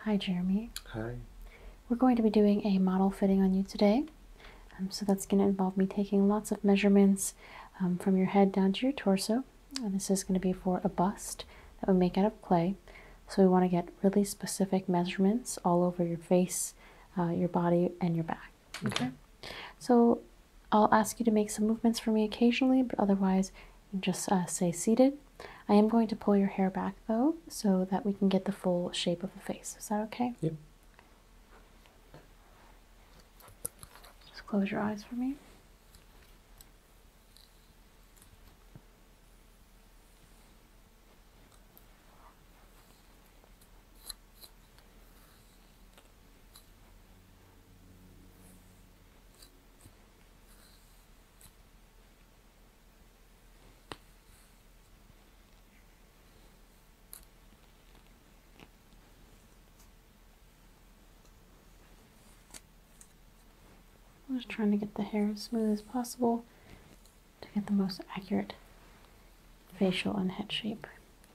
Hi, Jeremy. Hi. We're going to be doing a model fitting on you today. Um, so that's going to involve me taking lots of measurements um, from your head down to your torso. this is going to be for a bust that we make out of clay. So we want to get really specific measurements all over your face, uh, your body, and your back. Okay. So I'll ask you to make some movements for me occasionally, but otherwise, just uh, stay seated. I am going to pull your hair back though, so that we can get the full shape of the face. Is that okay? Yep. Just close your eyes for me. I'm just trying to get the hair as smooth as possible to get the most accurate facial and head shape.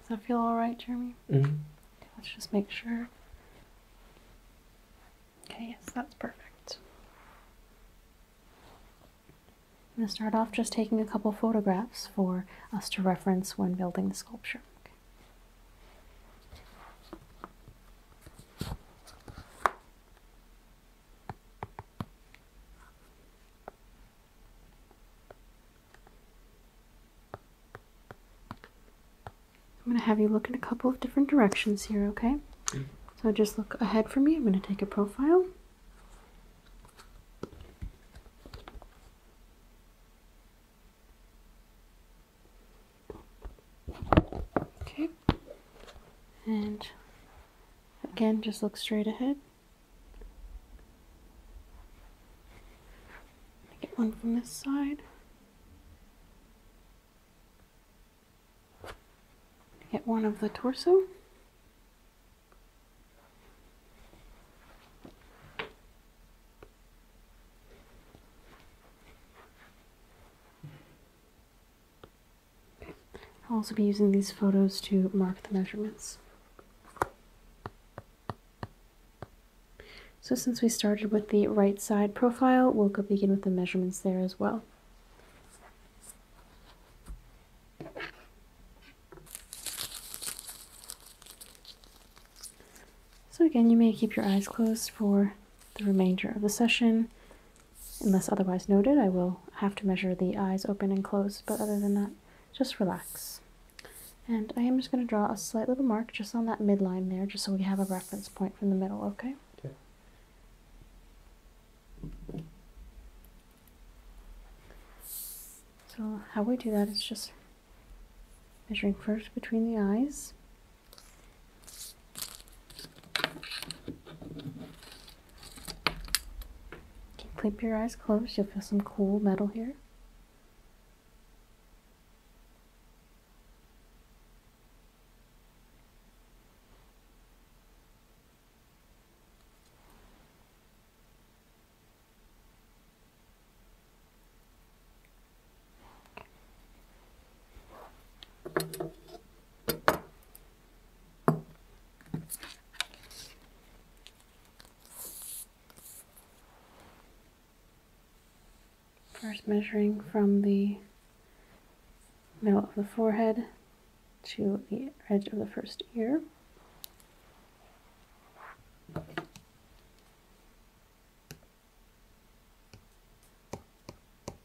Does that feel all right, Jeremy? Mm-hmm. Let's just make sure. Okay, yes, that's perfect. I'm going to start off just taking a couple photographs for us to reference when building the sculpture. I'm going to have you look in a couple of different directions here, okay? So just look ahead for me. I'm going to take a profile. Okay. And again, just look straight ahead. Get one from this side. Get one of the torso. I'll also be using these photos to mark the measurements. So since we started with the right side profile, we'll go begin with the measurements there as well. So again, you may keep your eyes closed for the remainder of the session. Unless otherwise noted, I will have to measure the eyes open and closed, but other than that, just relax. And I am just going to draw a slight little mark just on that midline there, just so we have a reference point from the middle, okay? Okay. So how we do that is just measuring first between the eyes Keep your eyes closed. You'll feel some cool metal here. First measuring from the middle of the forehead to the edge of the first ear.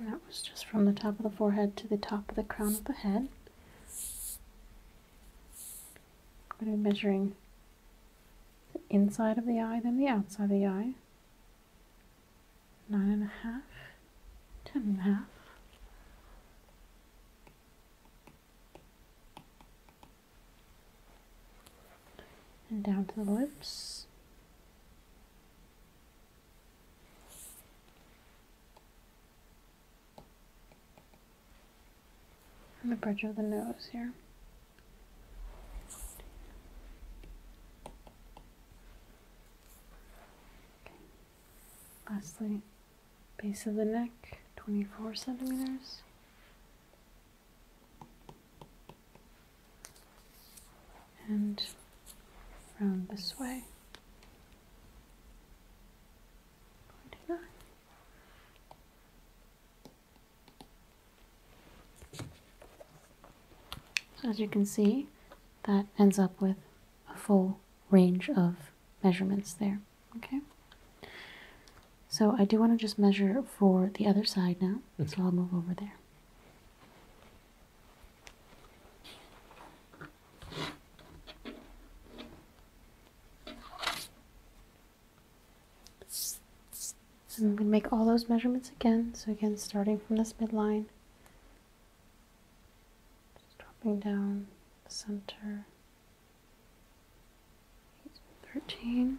that was just from the top of the forehead to the top of the crown of the head. I'm going to be measuring the inside of the eye, then the outside of the eye. Nine and a half, ten and a half. And down to the lips on the bridge of the nose here. Lastly, base of the neck, 24 centimeters and round this way. So as you can see, that ends up with a full range of measurements there, okay? So I do want to just measure for the other side now, so mm-hmm. I'll move over there. I'm going to make all those measurements again. So again, starting from this midline, dropping down the center, 13.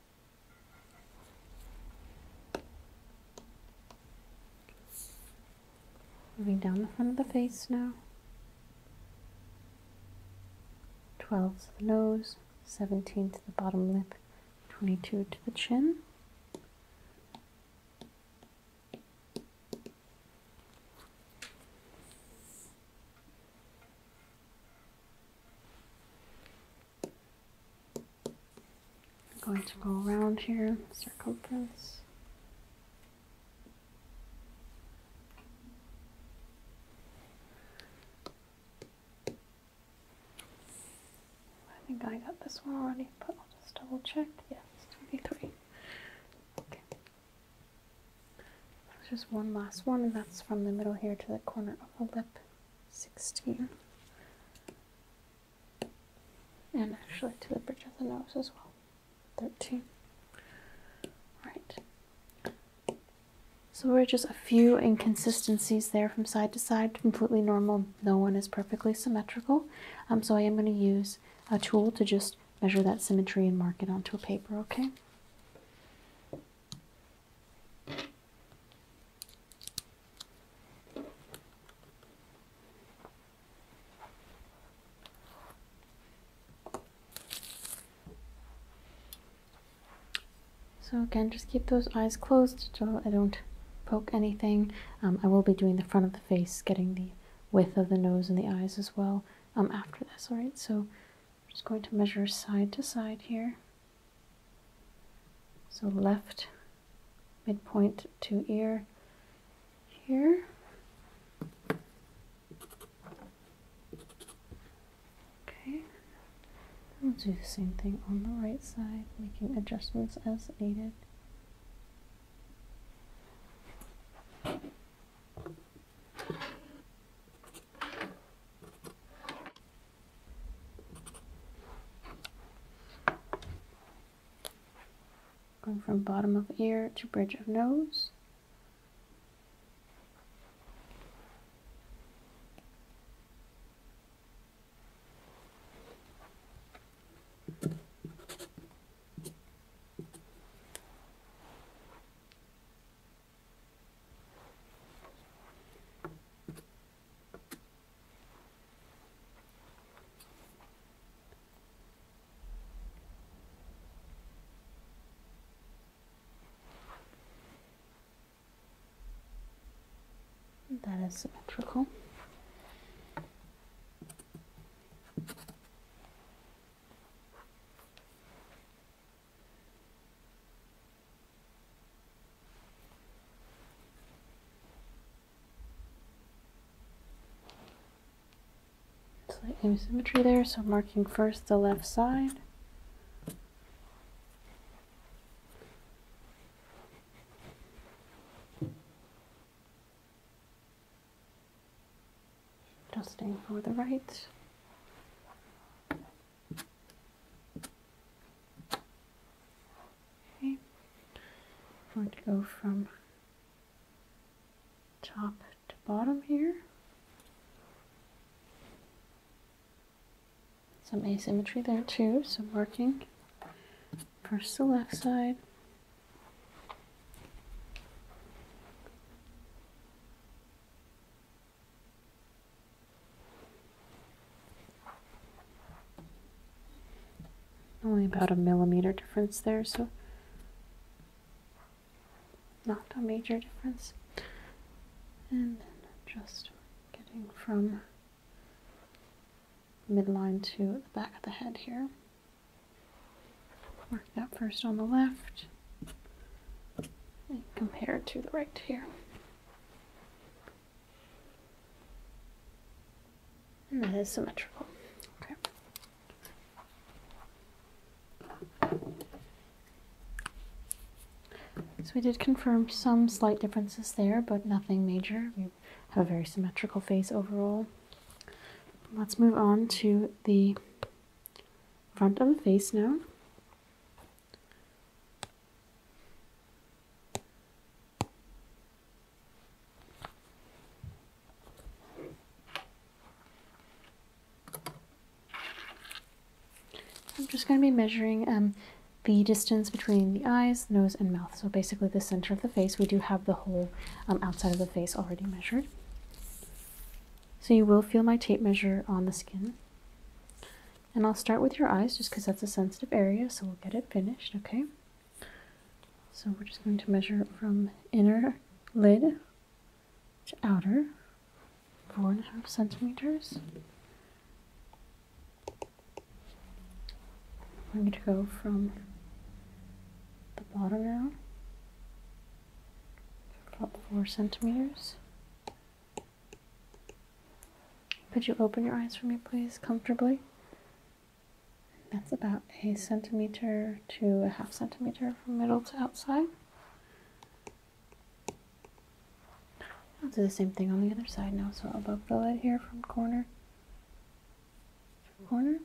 Moving down the front of the face now. 12 to the nose, 17 to the bottom lip, 22 to the chin. I'm going to go around here, circumference. I think I got this one already, but I'll just double check. Yes, 23. Okay. just one last one, and that's from the middle here to the corner of the lip. 16. And actually to the bridge of the nose as well. 13. Right. So we're just a few inconsistencies there from side to side, completely normal. No one is perfectly symmetrical. Um, so I am going to use a tool to just measure that symmetry and mark it onto a paper, okay? So again, just keep those eyes closed so I don't poke anything. Um, I will be doing the front of the face, getting the width of the nose and the eyes as well um, after this, alright? So I'm just going to measure side to side here. So left midpoint to ear here. Okay, we'll do the same thing on the right side, making adjustments as needed. Going from bottom of ear to bridge of nose. That is symmetrical. Slight symmetry there, so marking first the left side. Adjusting for the right. I'm going to go from top to bottom here. Some asymmetry there too, Some marking first the left side. Only about a millimeter difference there, so not a major difference. And just getting from midline to the back of the head here. Mark that first on the left and compare it to the right here. And that is symmetrical. Okay. So we did confirm some slight differences there, but nothing major. We have a very symmetrical face overall. Let's move on to the front of the face now. I'm just going to be measuring um, the distance between the eyes, nose, and mouth. So basically the center of the face. We do have the whole um, outside of the face already measured. So you will feel my tape measure on the skin. And I'll start with your eyes just because that's a sensitive area, so we'll get it finished, okay? So we're just going to measure from inner lid to outer, four and a half centimeters. I'm going to go from the bottom down, about four centimeters, could you open your eyes for me, please, comfortably? That's about a centimeter to a half centimeter from middle to outside. I'll do the same thing on the other side now, so above the lid here from corner to corner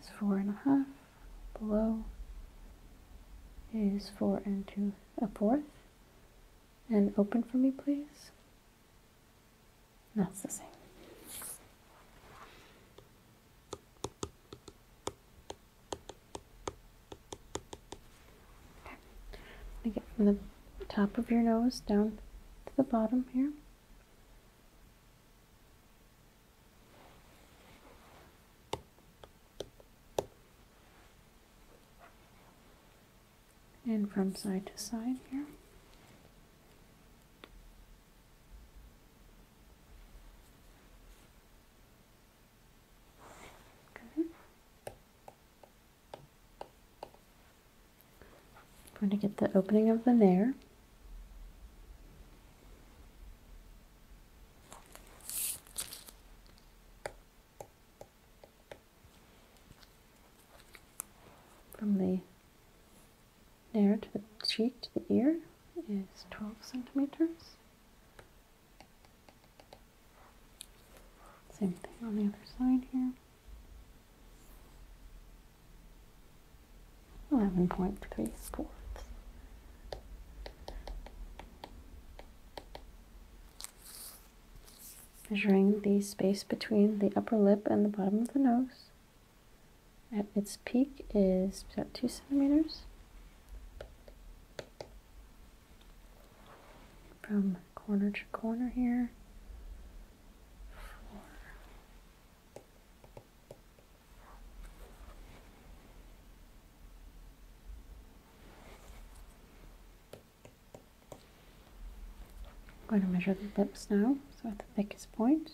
is four and a half, below is four and two a fourth, and open for me, please? That's the same. Okay. from the top of your nose down to the bottom here and from side to side here. Good. I'm going to get the opening of the nare. From the nair to the cheek to the ear is 12 centimeters. Same thing on the other side here. 11.3 fourths measuring the space between the upper lip and the bottom of the nose. At its peak is about two centimeters. From corner to corner here. I'm going to measure the lips now, so at the thickest point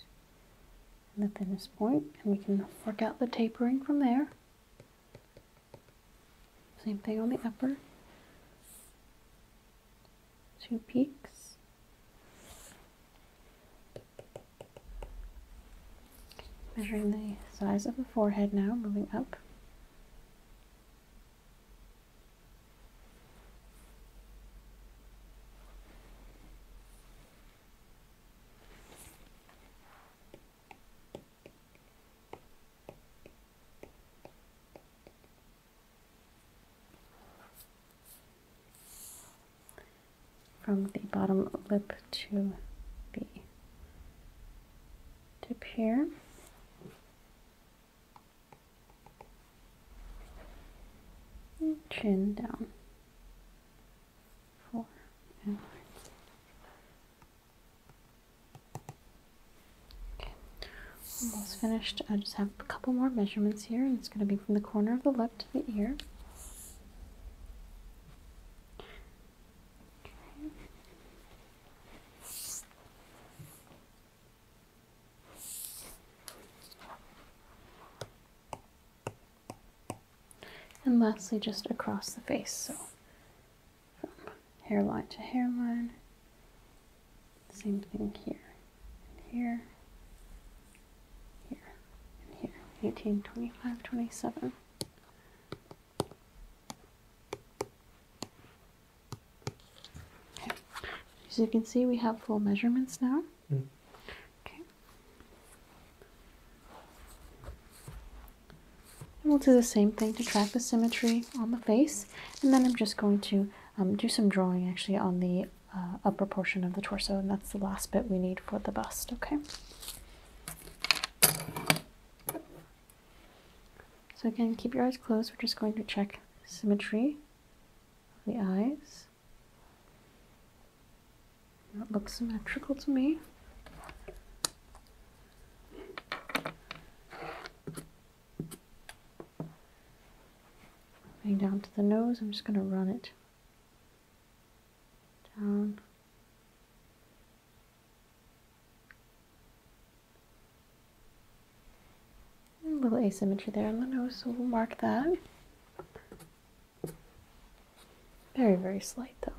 and the thinnest point, and we can work out the tapering from there. Same thing on the upper. Two peaks. Measuring the size of the forehead now, moving up. from the bottom lip to the tip here. chin down. Four and Okay, almost finished. I just have a couple more measurements here, and it's going to be from the corner of the lip to the ear. And lastly, just across the face, so from hairline to hairline, same thing here, and here, here, and here, 18, 27. As you can see, we have full measurements now. Mm. Okay. we'll do the same thing to track the symmetry on the face. And then I'm just going to um, do some drawing actually on the uh, upper portion of the torso, and that's the last bit we need for the bust, okay? So again, keep your eyes closed. We're just going to check symmetry of the eyes. That looks symmetrical to me. Going down to the nose, I'm just going to run it down a little asymmetry there on the nose, so we'll mark that. Very, very slight though.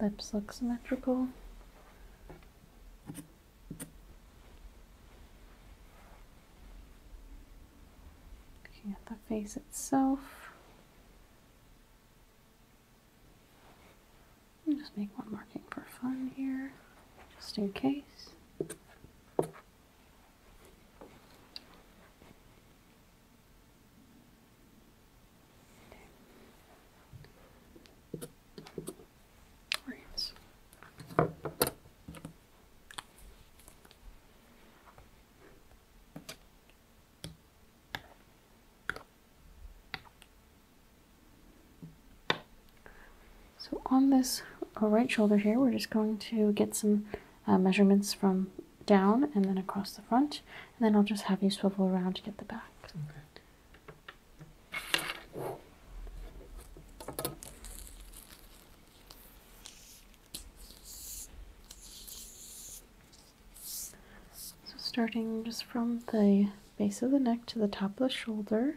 Lips look symmetrical. Looking at the face itself. just make one marking for fun here, just in case. So on this uh, right shoulder here, we're just going to get some uh, measurements from down and then across the front, and then I'll just have you swivel around to get the back. So, starting just from the base of the neck to the top of the shoulder.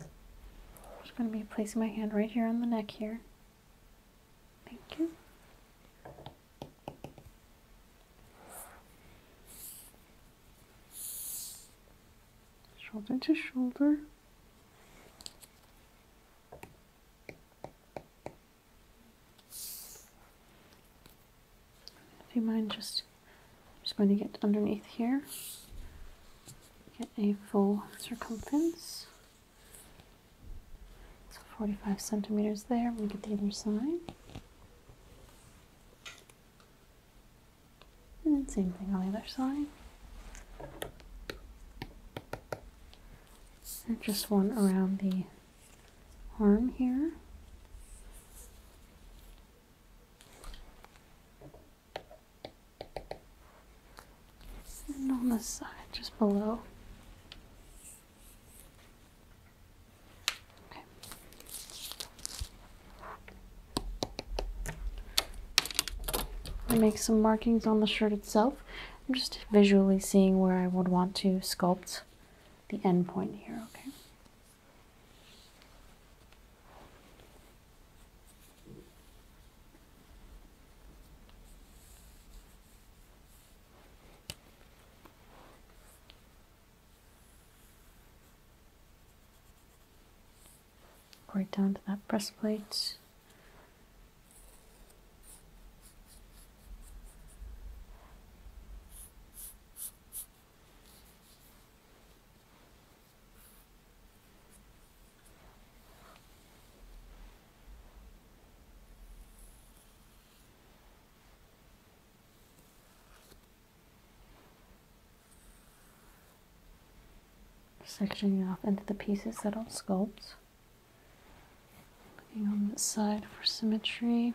I'm just going to be placing my hand right here on the neck here. Thank you. Shoulder to shoulder. If you mind just, just going to get underneath here, get a full circumference. So 45 centimeters there, we get the other side. And same thing on the other side. And just one around the arm here. And on the side, just below. Okay. I make some markings on the shirt itself. I'm just visually seeing where I would want to sculpt the end point here, okay? Right down to that breastplate sectioning off into the pieces that I'll sculpt. Looking on this side for symmetry.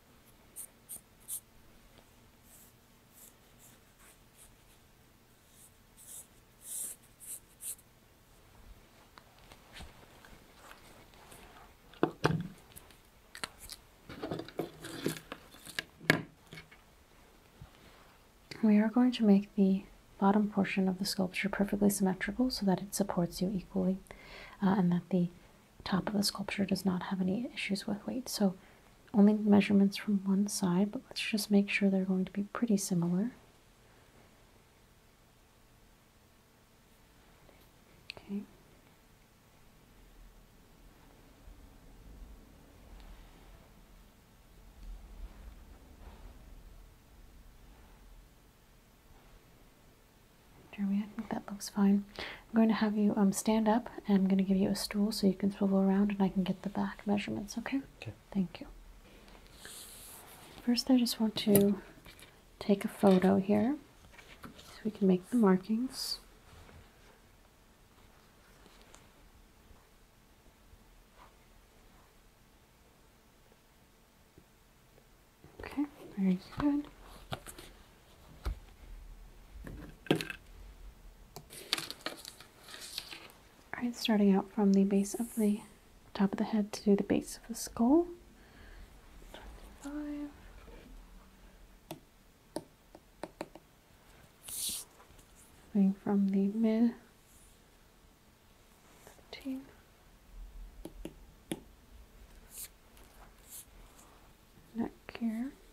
We are going to make the bottom portion of the sculpture perfectly symmetrical so that it supports you equally uh, and that the top of the sculpture does not have any issues with weight. So only measurements from one side, but let's just make sure they're going to be pretty similar. Okay. Jeremy, I think that looks fine. I'm going to have you um, stand up and I'm going to give you a stool so you can swivel around and I can get the back measurements, okay? Okay. Thank you. First, I just want to take a photo here so we can make the markings. Okay, very good. Alright, starting out from the base of the top of the head to the base of the skull. 25. Moving from the mid. 13. Neck here.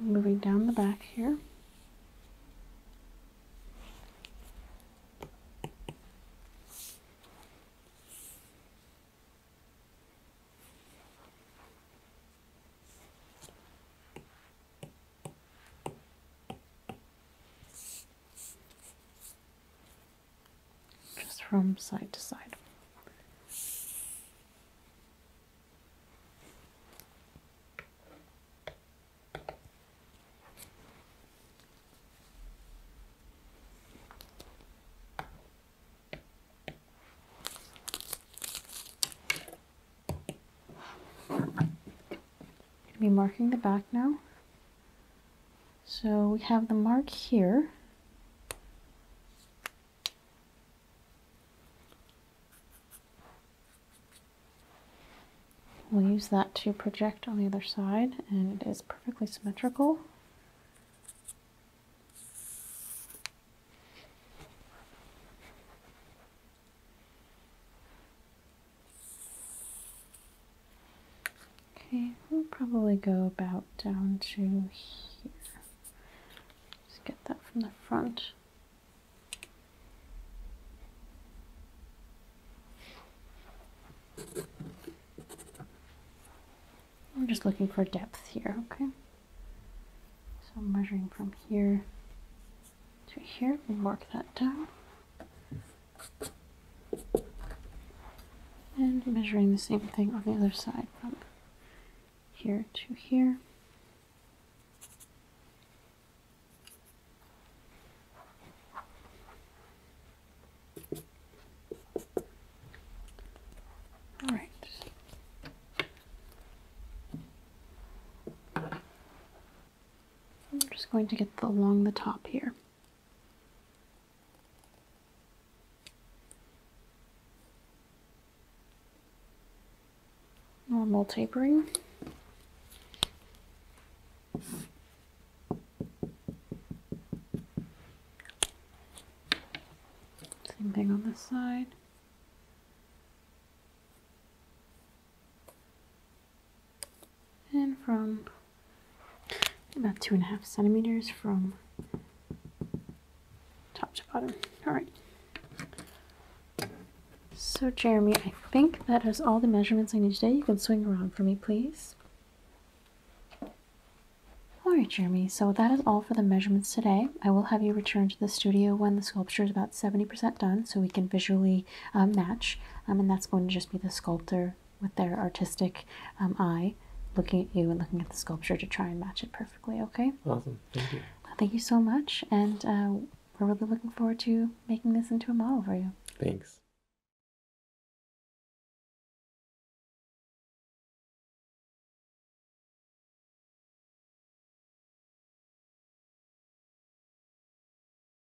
moving down the back here just from side to side. be marking the back now so we have the mark here. We'll use that to project on the other side and it is perfectly symmetrical. Okay, we'll probably go about down to here. Just get that from the front. We're just looking for depth here, okay? So I'm measuring from here to here, we mark that down. And measuring the same thing on the other side from here to here. All right. I'm just going to get along the top here normal tapering. Same thing on this side and from about two and a half centimeters from top to bottom. All right. So Jeremy, I think that has all the measurements I need today. You can swing around for me, please. All right, Jeremy, so that is all for the measurements today. I will have you return to the studio when the sculpture is about 70% done so we can visually uh, match, um, and that's going to just be the sculptor with their artistic um, eye looking at you and looking at the sculpture to try and match it perfectly, okay? Awesome, thank you. Thank you so much, and uh, we're really looking forward to making this into a model for you. Thanks.